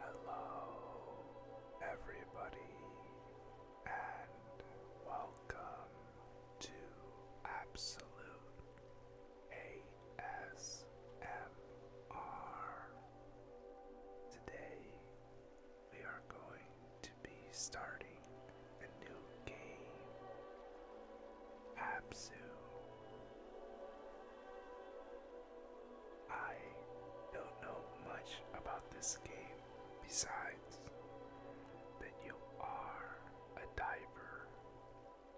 Hello, everybody, and welcome to Absolute ASMR. Today, we are going to be starting a new game. Absu. I don't know much about this game besides that you are a diver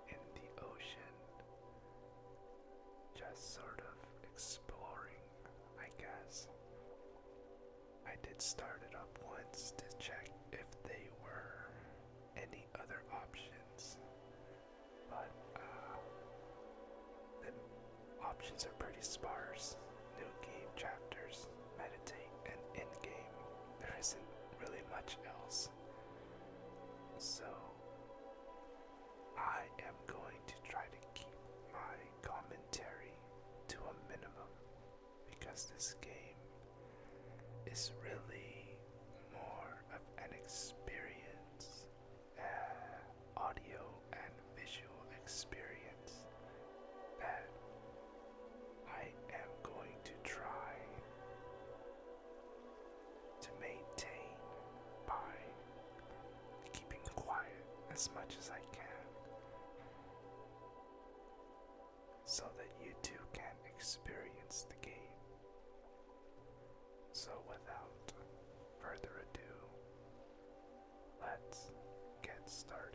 in the ocean, just sort of exploring, I guess. I did start it up once to check if they were any other options, but uh, options are pretty sparse. New game chapters, meditate, and end game. There isn't really much else. So, I am going to try to keep my commentary to a minimum because this game is really more of an experience, uh, audio and visual experience that I am going to try to maintain by keeping quiet as much as I can so that you too can experience the game. So, without further ado, let's get started.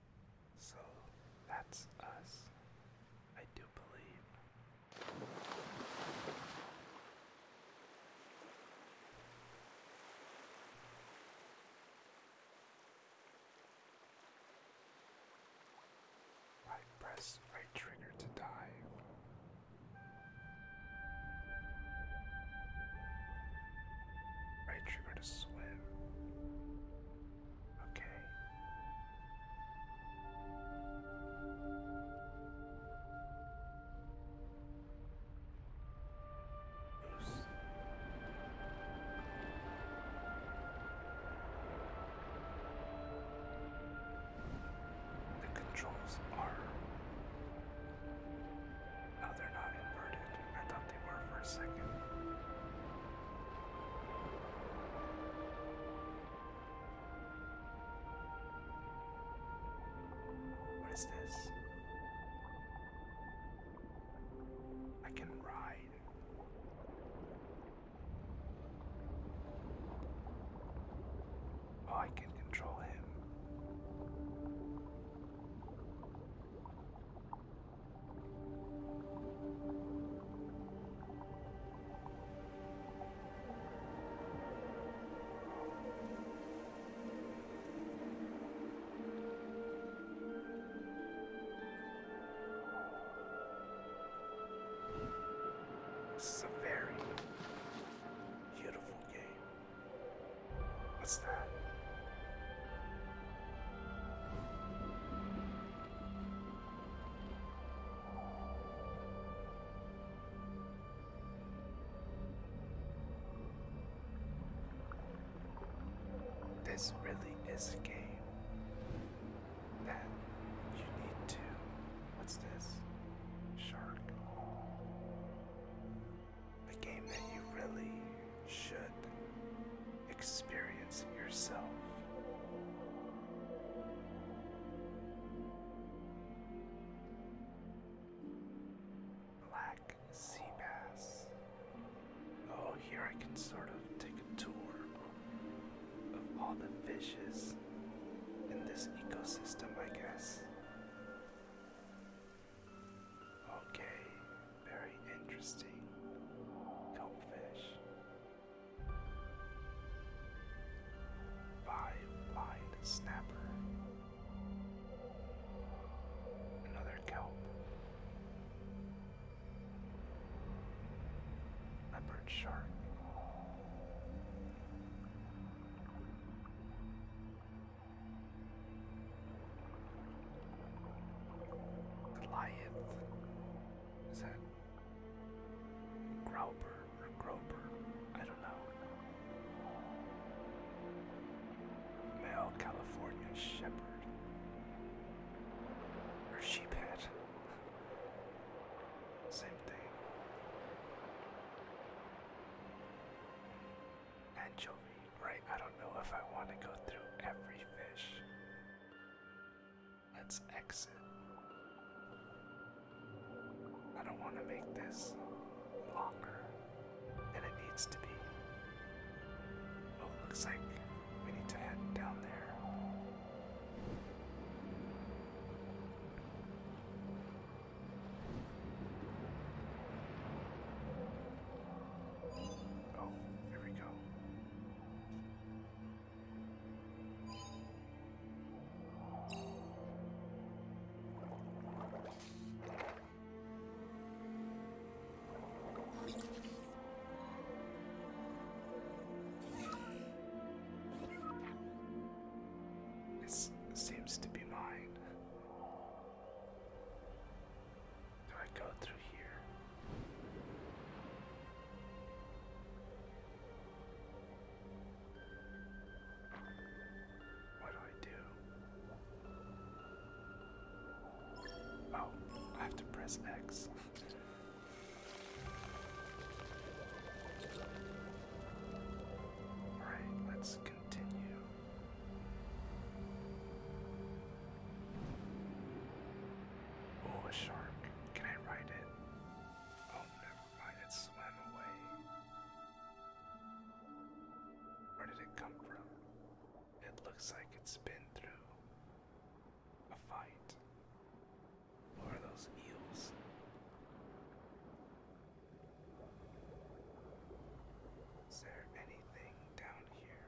So that's us, I do believe. Right press, right trigger to dive. Right trigger to swim. Okay. Oops. The controls are. No, they're not inverted. I thought they were for a second. What is this? I can ride. Oh, I can control him. This is a very beautiful game. What's that? This really is a game that you need to. What's this? Shark. A game that you really should Experiencing yourself. Black sea bass. Oh, here I can sort of take a tour of all the fishes in this ecosystem, I guess. Okay, very interesting. Goldfish by Wide Snapper. Another kelp. Leopard shark. Goliath. Is that Grauber or I don't know. Male California Shepherd or Sheephead. Same thing. Anchovy, right? I don't know if I want to go through every fish. Let's exit. I don't want to make this longer than it needs to be. Oh, looks like we need to head down there. Oh, here we go. This seems to be mine. Do I go through here? What do I do? Oh, I have to press X. Alright, let's continue. Oh, a shark. Can I ride it? Oh, never mind, it swam away. Where did it come from? It looks like it's been through a fight. What are those eels? Is there anything down here?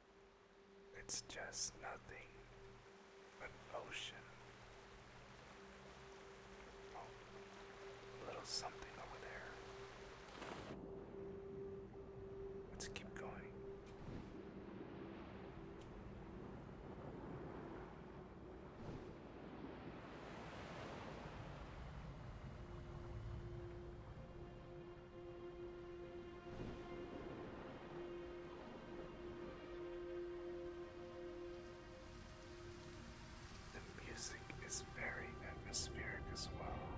It's just nothing but ocean. Oh, a little something over there. Let's keep going. The music is very atmospheric as well.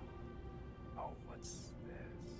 Oh, what's this?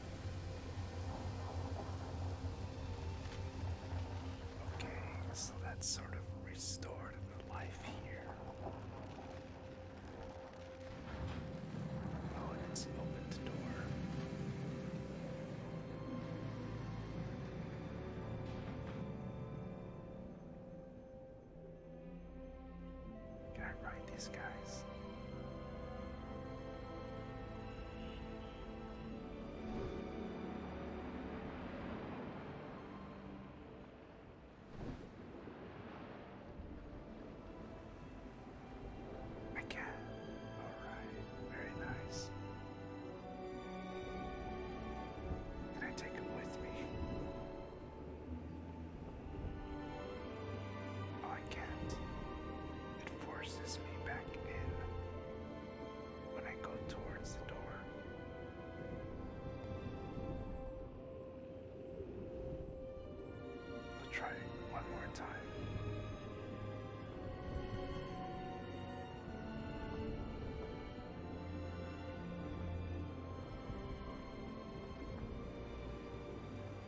Okay, so that's sort of restored the life here. Oh, it's an opened door. Can I ride these guys? I can. Alright, very nice. Can I take him with me? I can't. It forces me back in when I go towards the door. i try one more time.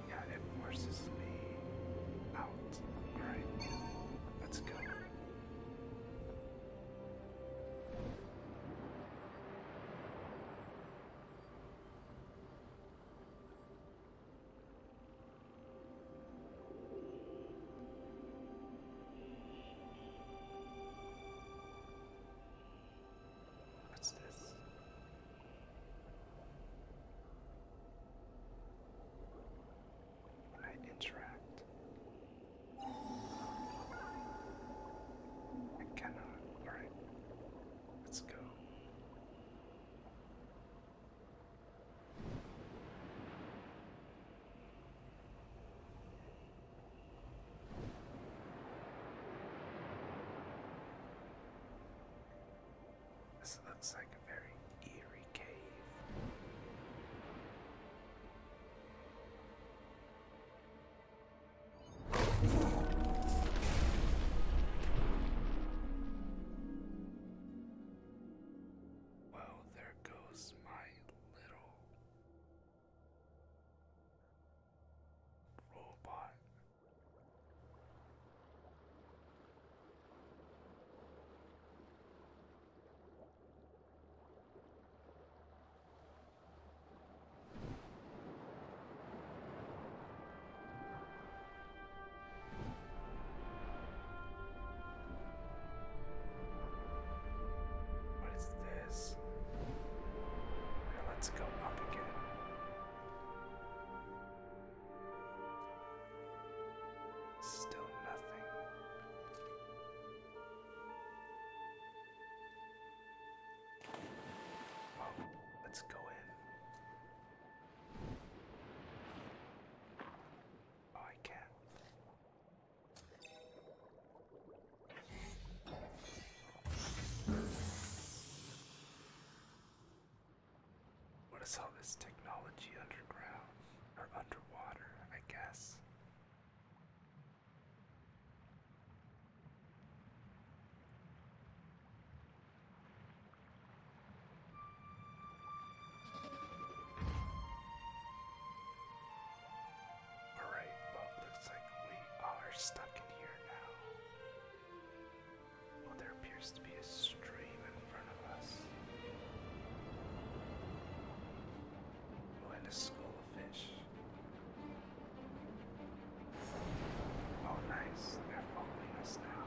Yeah, it forces me out. Alright. Let's go. What's this? I interact. I cannot. Alright. Let's go. This looks like a very eerie cave. Well, there goes my little robot. What is this? Now let's go up again. Still nothing. Well, let's go in. Oh, I can't. What is all this technology underground? Or underwater, I guess. Alright, looks like we are stuck in here now. Well, there appears to be a stream in front of us. Oh, a school of fish. Oh, nice. They're following us now.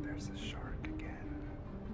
There's a shark again.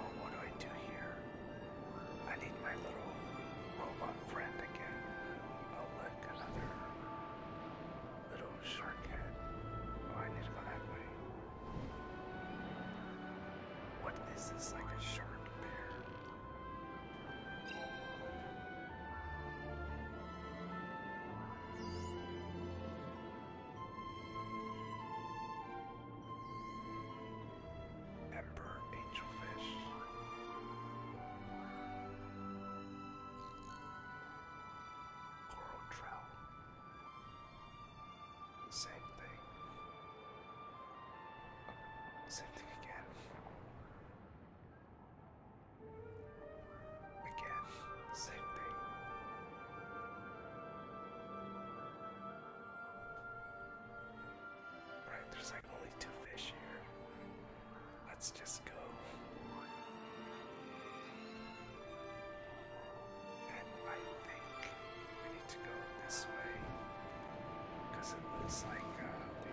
Oh, what do I do here? I need my little robot friend again. I'll lick another little shark head. Oh, I need to go that What is this? Like a shark bear? Emperor Angelfish. Coral Trout. Same thing. Same thing again. Again, same thing. Alright, there's like only two fish here. Let's just go. And I think we need to go this way. Because it looks like uh, we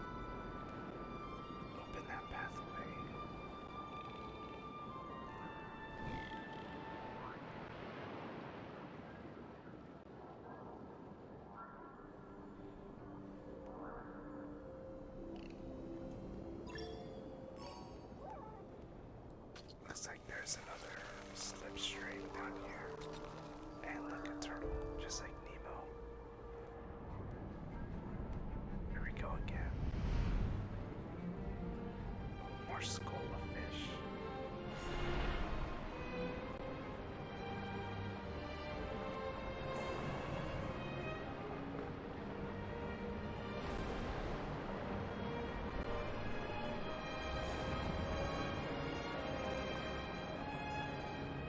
Open that pathway. Looks like there's another slipstream down here. And look, a turtle, just like Nemo. Here we go again. More skull of fish.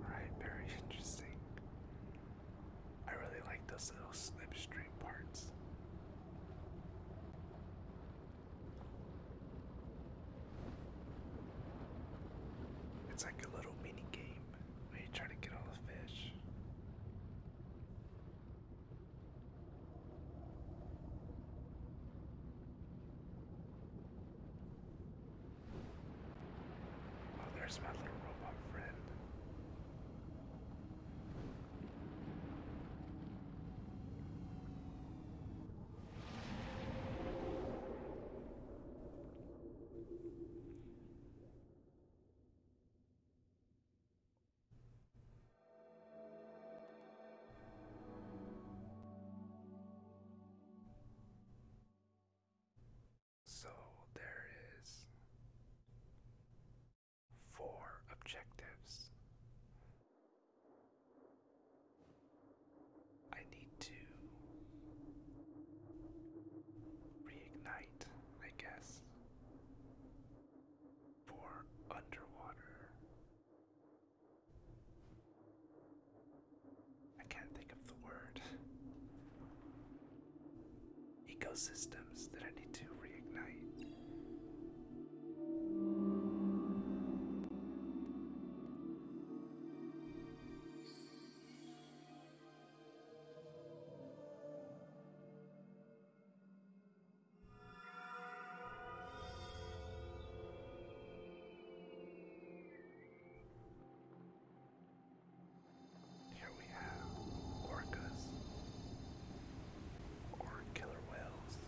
Right, very interesting. I really like those little slipstream parts. It's like a little mini game where you try to get all the fish. Oh, there's my little robot friend. So there is four objectives. I need to reignite, I guess, for underwater. I can't think of the word ecosystems that I need to reignite. Here we have orcas or killer whales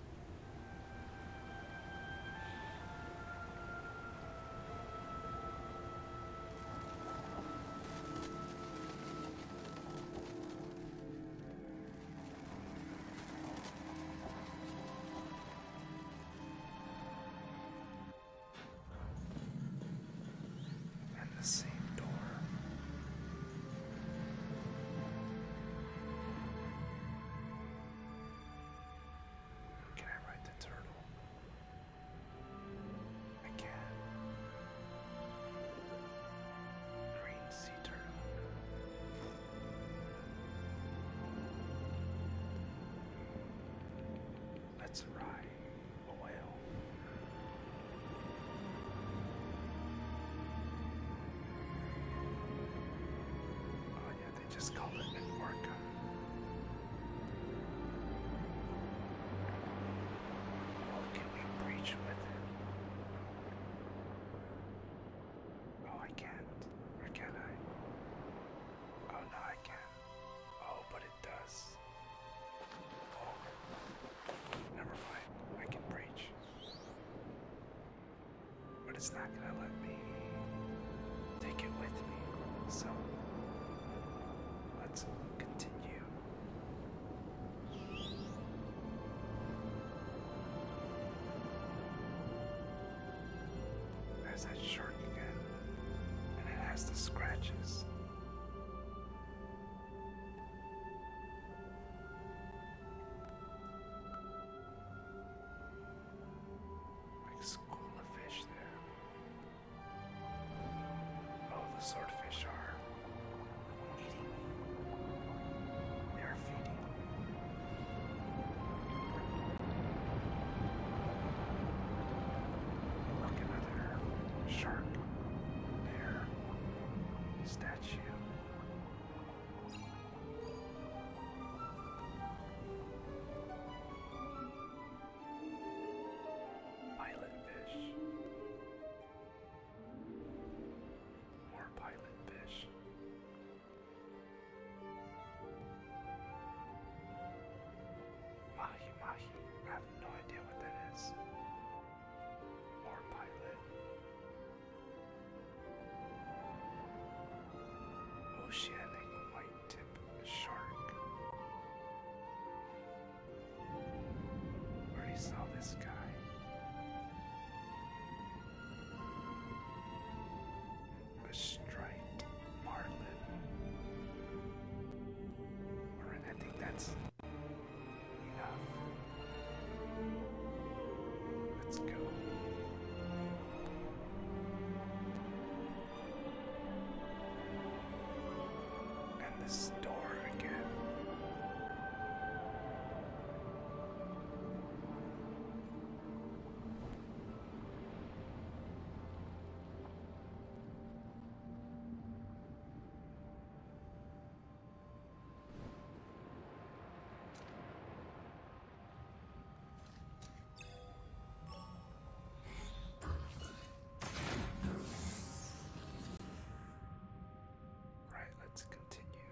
and the same door. Can I ride the turtle? I can. Green sea turtle. Let's ride. Oh yeah, they just called it an can we breach with it? Oh, I can't. Or can I? Oh no, I can. Oh, but it does never mind. I can breach. But it's not gonna let me take it with me. So let's continue. There's that shark again, and it has the scratches. Like school of fish there. Oh, the swordfish are eating. They are feeding. Look, another shark there statue. Pilot fish. More pilot fish. Mahi Mahi. I have no idea what that is. Or Oceanic white tip shark. Already saw this guy. A striped marlin. Alright, I think that's Enough. Let's go. And this door again. Right, let's continue.